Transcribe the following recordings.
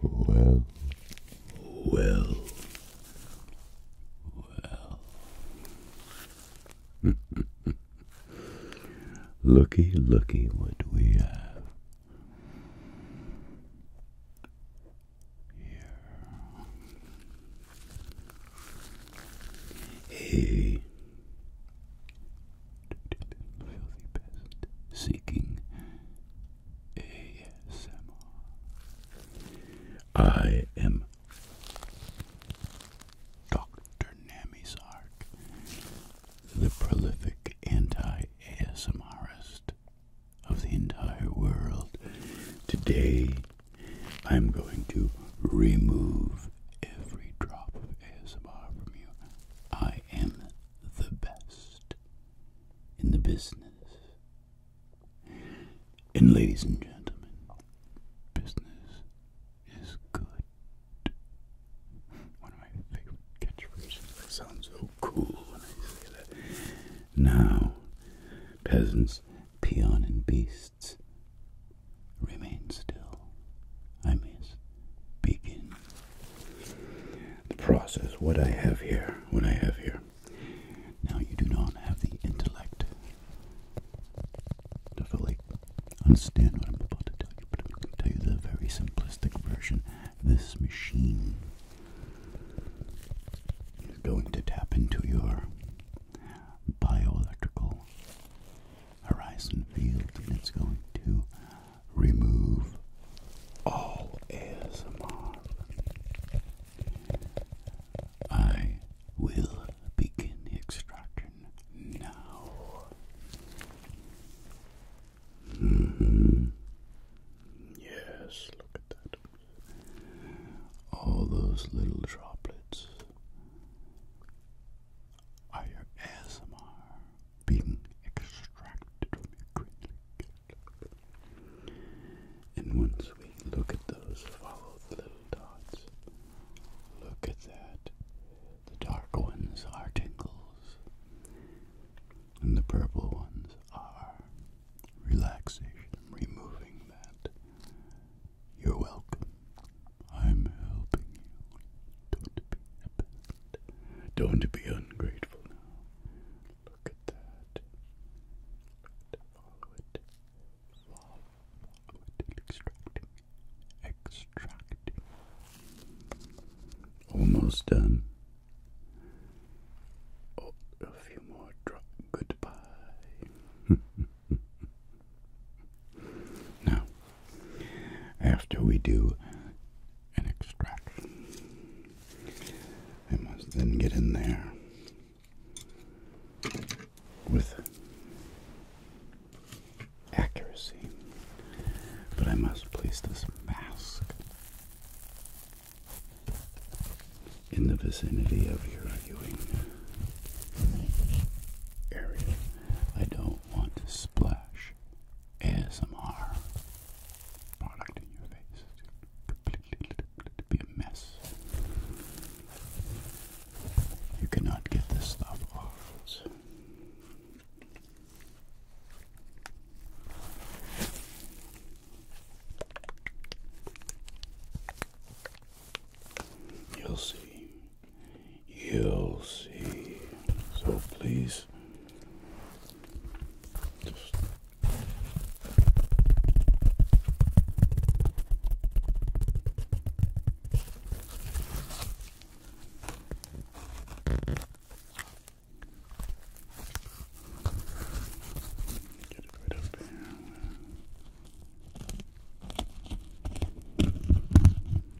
Well, well, well. looky, looky what we have here a filthy pest seeking ASMR. I am Dr. Nami the prolific anti-ASMRist of the entire world. Today, I'm going to remove every drop of ASMR from you. I am the best in the business. And ladies and gentlemen, business is good. One of my favorite catchphrases. That sounds so cool when I say that. Now, peasants, peon and beasts, Remain still. I must begin the process. What I have here, what I have here. Now you do not have the intellect to fully understand what I'm about to tell you, but I'm tell you the very simplistic version. This machine is going to tap into your bioelectrical horizon field and it's going to remove all ASMR. I will begin extraction now. Mm-hmm. Yes, look at that. All those little droplets are ASMR being extracted from acrylic? And once we look at those, follow the little dots. Look at that. The dark ones are tingles, and the purple ones are relaxation, removing that you're welcome. I'm helping you. Don't be a Don't be ungrateful now. Look at that. Look at Follow it. Follow, it. Extracting. Almost done. a few more drops. Goodbye. now, after we do an extraction, I must then get in there with accuracy, but I must place this mask in the vicinity of your viewing area. I don't want to splash ASMR product in your face. Completely to be a mess. You cannot get this stuff off. You'll see you'll see. So please Get it right up here.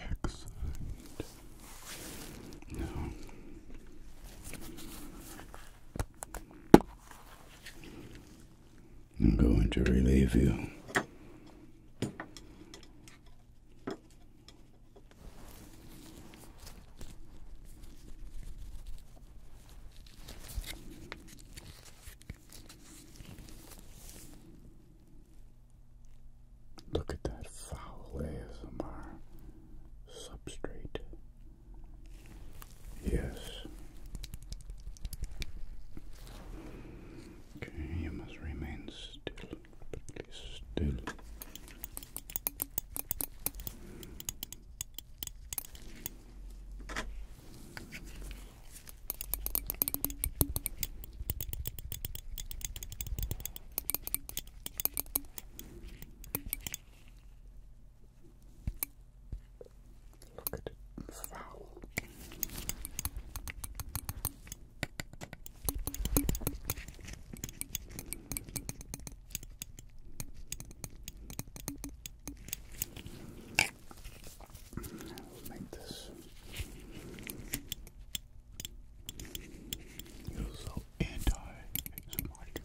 Excellent. Now, I'm going to relieve you Look at that foul ASMR substrate. Yes. Okay, you must remain still, but still. Look at the fowl. We'll make this you're so anti exotic.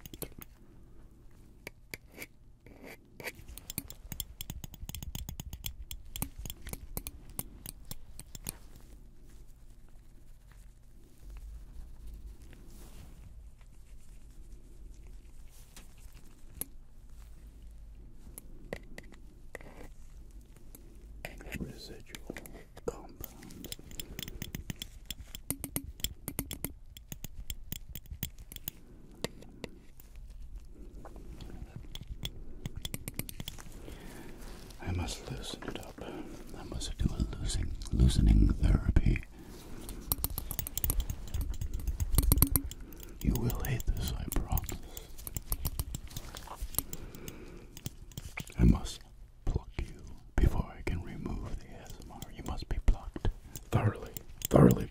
Residual compound. I must loosen it up. I must do a loosening loosening therapy. You will hate this, I promise. I must pluck you before I can remove the ASMR. You must be plucked. Thoroughly, thoroughly plucked.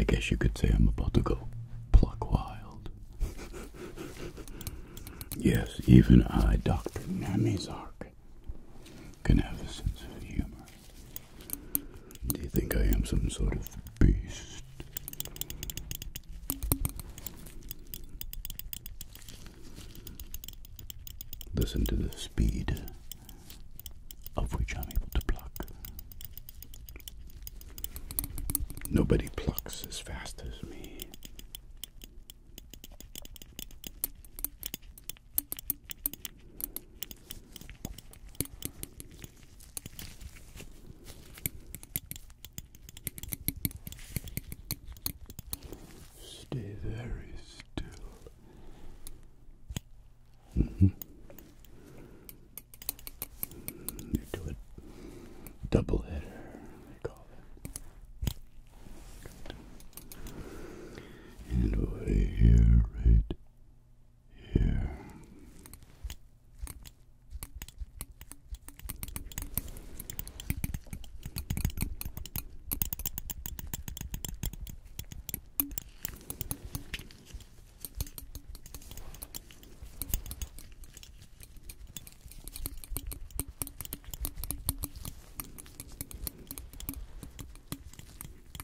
I guess you could say I'm about to go pluck wild. yes, even I, Dr. Namizark, can have a sense of humor. Do you think I am some sort of beast? Listen to the speed of which I'm able to pluck. Nobody plucks as fast as me. Stay very still. Mm do it double header, and over here, right here.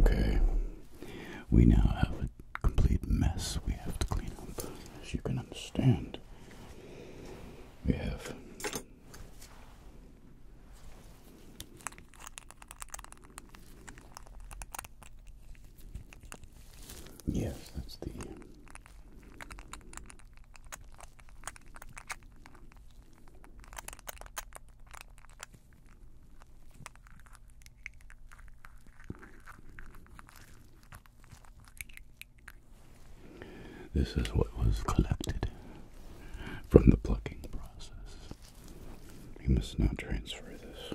Okay, we now have a complete mess we have to clean up, as you can understand. We have Yes, that's the this is what was collected from the plucking process. We must now transfer this.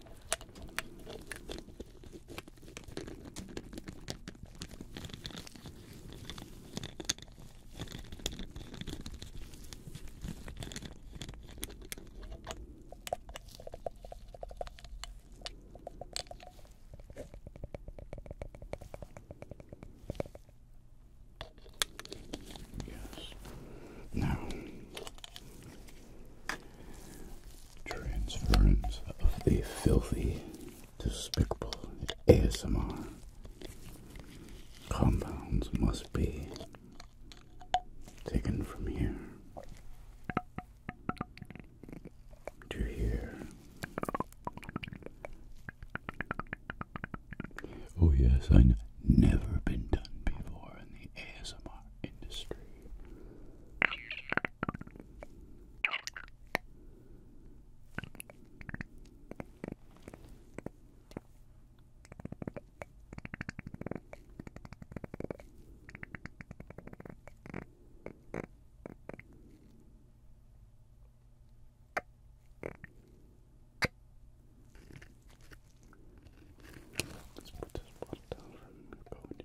Yes. Now, Transference of the filthy, despicable ASMR compounds must be taken from here. To here. Oh, yes, I've never been done before in the ASMR industry. Let's put this bottle down and go into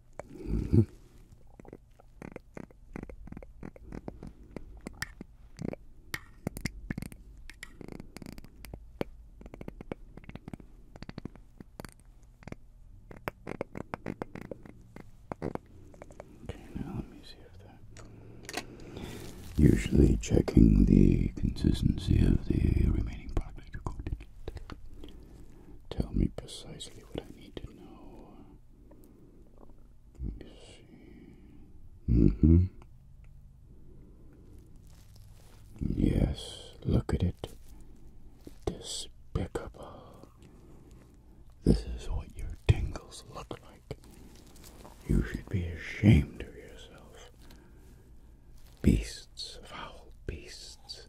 Okay, now let me see if that. Usually checking the consistency of the remaining product tell me precisely what I need to know. see. Mm-hmm. Yes, look at it. Despicable. This is what your tingles look like. You should be ashamed of yourself. Beasts, foul beasts,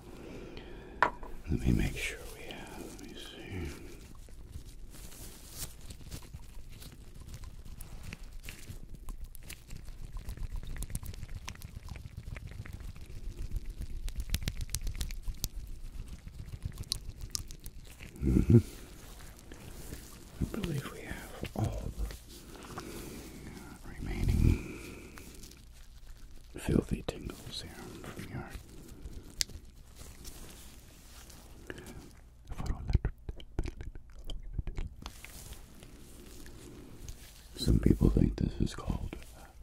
Let me make sure we have. Let me see. Mm-hmm. I believe we have all the remaining Filthy the tingles here from your some people think this is called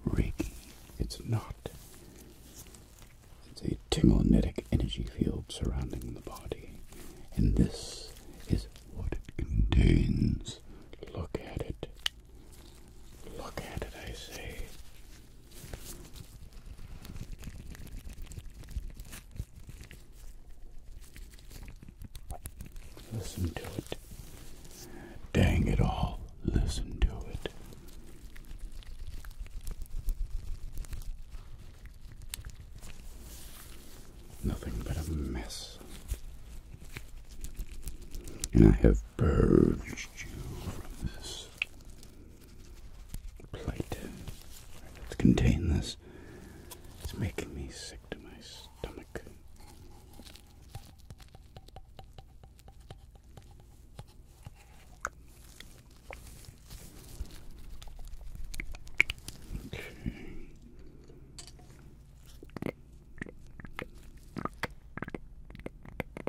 Reiki. It's not. It's a tinglinetic energy field surrounding the body. And this is what it contains. Look at it. Look at it, I say. Listen to it. Dang it all, listen to it. Nothing but a mess. And I have purged you from this plate. let's contain this. It's making me sick to my stomach. Okay.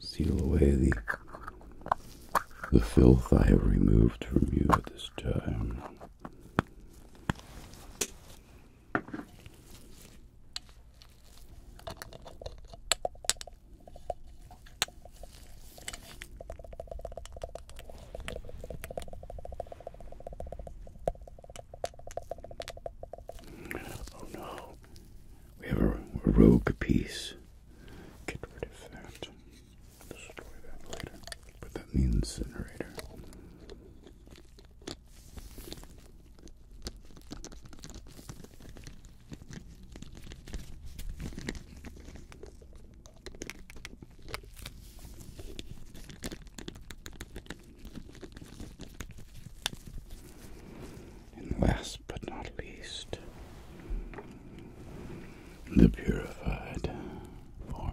Seal away the the filth I have removed from you at this time. Oh no, we have a, rogue piece. Get rid of that. Destroy that later. Put that incinerator. And last but not least, the purified form.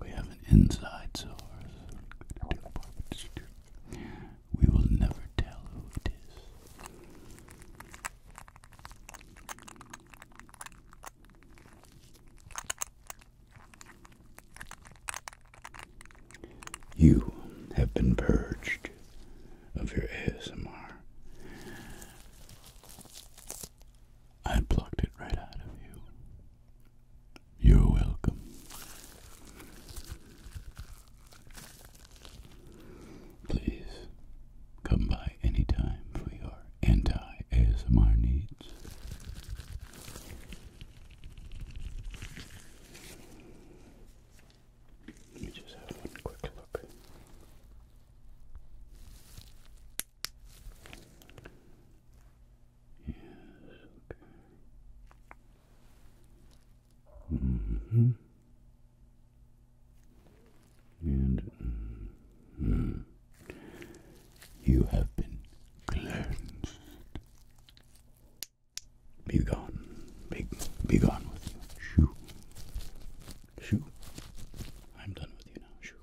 We have an inside source. We will never tell who it is. You have been purged of your ASMR. I plucked it right out of you. You're welcome. Please come by anytime for your anti-ASMR needs. Let me just have one quick look. Yes, okay. Mm-hmm. And mm, you have been cleansed. Be gone. Be, be gone with you. Shoo. Shoo. I'm done with you now. Shoo.